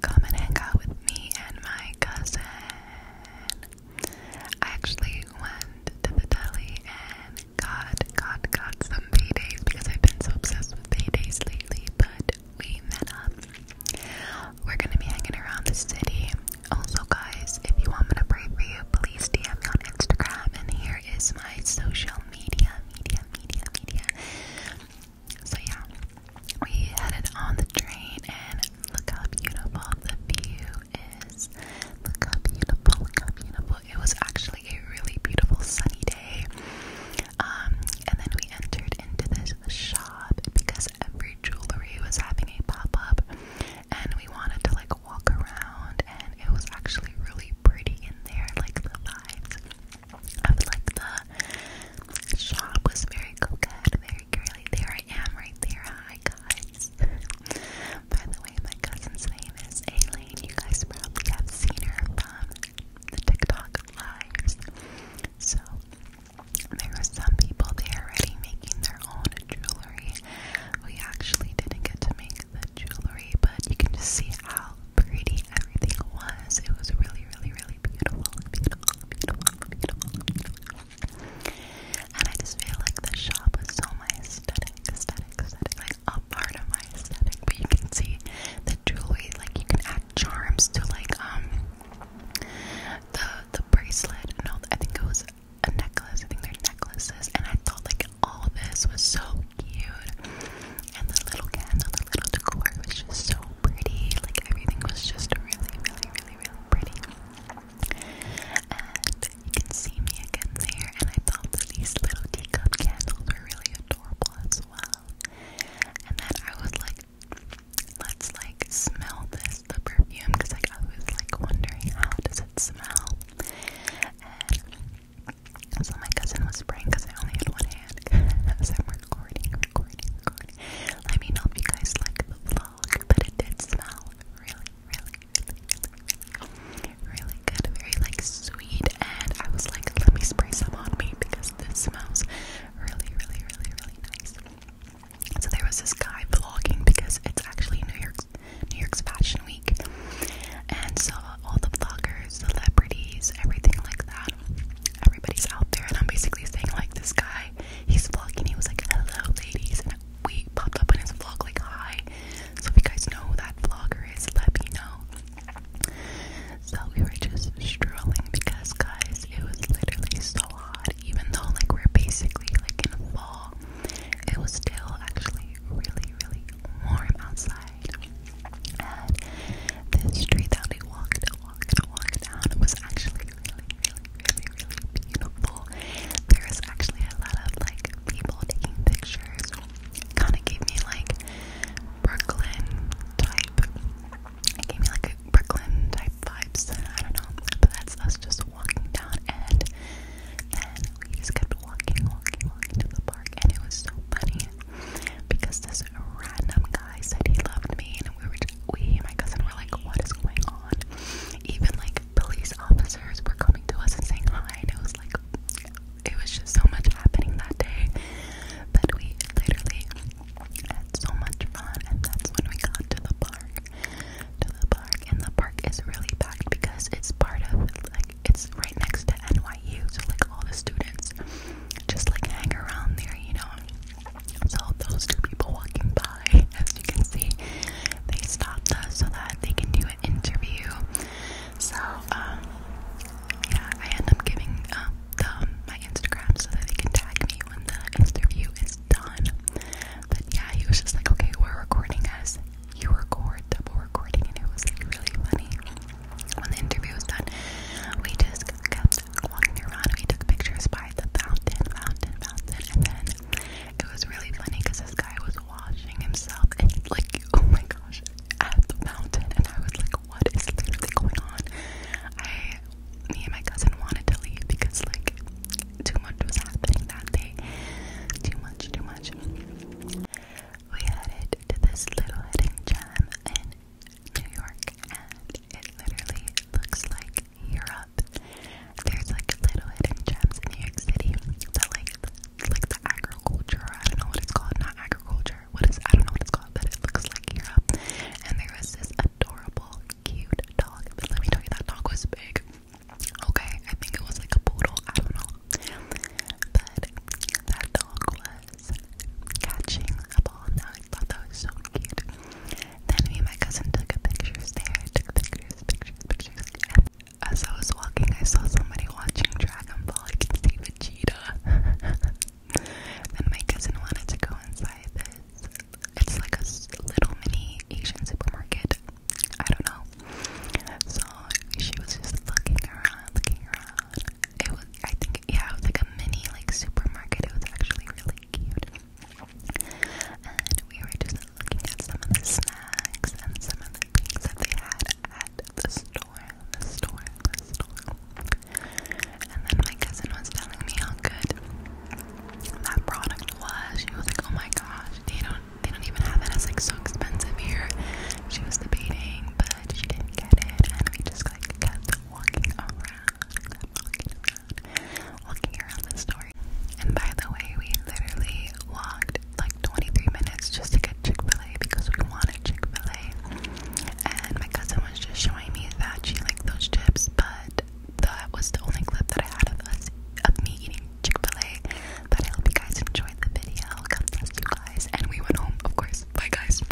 Come and hang out with me and my cousin. I actually went to the deli and got, got, got some paydays because I've been so obsessed with paydays lately, but we met up. We're gonna be hanging around the city. Also, guys, if you want me to pray for you, please DM me on Instagram, and here is my social media, media, media, media. So yeah, we headed on the train and look how beautiful the view is. Look how beautiful, look how beautiful. It was actually a really beautiful sunny day. Um, and then we entered into this shop because every jewelry was having a pop-up and we wanted to like walk around and it was actually really pretty in there, like the vibes I would like the shop was very coquette, very girly. There I am right there. Hi guys. By the way, my cousin's name is Aileen. You guys probably have seen her from the TikTok lives. So there were some people there already making their own jewelry. We actually didn't get to make the jewelry, but you can just see how pretty everything was. It was really, really, really beautiful, beautiful, beautiful, beautiful. And I just feel like the shop is so my aesthetic, aesthetic, aesthetic, like a part of my aesthetic. But you can see the jewelry, like you can add charms to like um the the bracelet. No, I think it was a necklace. I think they're necklaces. And I thought like all this was so cute, and the little candle, the little decor was just so pretty. Like everything was just really, really, really, really pretty. And you can see me again there. And I thought that these little teacup candles were really adorable as well. And then I was like, let's like smell this, the perfume, because like I was like wondering how does it smell. And so my cousin was spraying because I only had one hand as I'm recording, recording, popcorn. Let me know if you guys like the vlog, but it did smell really, really, really, really, good. Very like sweet, and I was like, let me spray some on me because this smells really, really, really, really nice. So there was this guy vlogging because it's actually New York's New York's Fashion Week, and so all the vloggers, celebrities, everything like that everybody's out there, and I'm basically saying like this guy, he's vlogging. He was like, "Hello, ladies," and we popped up on his vlog like, "Hi." So if you guys know who that vlogger is, let me know. So we were just strolling because, guys, it was literally so hot. Even though like we're basically like in fall, it was still actually really, really warm outside. And this street that we walked walk and walk down. It was actually really, really, really, really beautiful. There was actually a lot of like people taking pictures. Kind of gave me like Brooklyn type. It gave me like a Brooklyn type vibes. I don't know, but that's us just walking down, and then we just kept walking, walking, walking to the park, and it was so funny because this random guy said he loved me, and we were just, we, my cousin, were like, what is going on? Even like police officers were coming to us and saying hi, and it was like, it was just so much happening that day But we literally had so much fun, and that's when we got to the park. To the park, and the park is really packed because it's part of like it's right next to NYU, so like all the students just like hang around there, you know. So those two people walking by, as you can see, they stopped us so that they can do an interview. So um, yeah, I end up giving uh, my Instagram so that they can tag me when the interview is done. But yeah, he was just like, okay, we're recording us. You record, double recording, it was like really funny. When the interview was done, we just kept walking around we took pictures by the fountain, fountain, fountain, and then it was really funny because this guy was washing himself and like, oh my gosh, at the fountain, and I was like, what is literally going on? I, me and my cousin wanted to leave because like too much was happening that day, too much, too much. We headed to this little hidden gem in New York, it literally looks like Europe. There's like little hidden gems in New York City that like like the agriculture, I don't know what it's called, not agriculture. What is I don't know what it's called, but it looks like Europe. And there was this adorable, cute dog. But let me tell you that dog was big. Okay, I think it was like a poodle, I don't know. But that dog was catching a ball and I thought that was so cute. Then me and my cousin took a pictures there, took pictures, pictures, pictures. And as I was walking, I saw somebody watching Dragon Ball. I could see Vegeta. then my cousin wanted to go inside this. It's like a little mini Asian supermarket. I don't know. So she was just looking around, looking around. It was. I think like yeah, it was like a mini like supermarket. It was actually really cute. And we were just looking at some of the snacks and some of the things that they had at the store, the store, the store. And then my cousin was telling me how good that product was. She was like, "Oh my gosh, they don't, they don't even have it. It's like so expensive here." She was debating, but she didn't get it, and we just like kept walking around walking around. the store. And by the way, we literally walked like 23 minutes just to get Chick-fil-A because we wanted Chick-fil-A. And my cousin was just showing me that she liked those chips, but that was the only clip that I had of us of me eating Chick-fil-A. But I hope you guys enjoyed the video. I'll come bless you guys. And we went home, of course. Bye guys.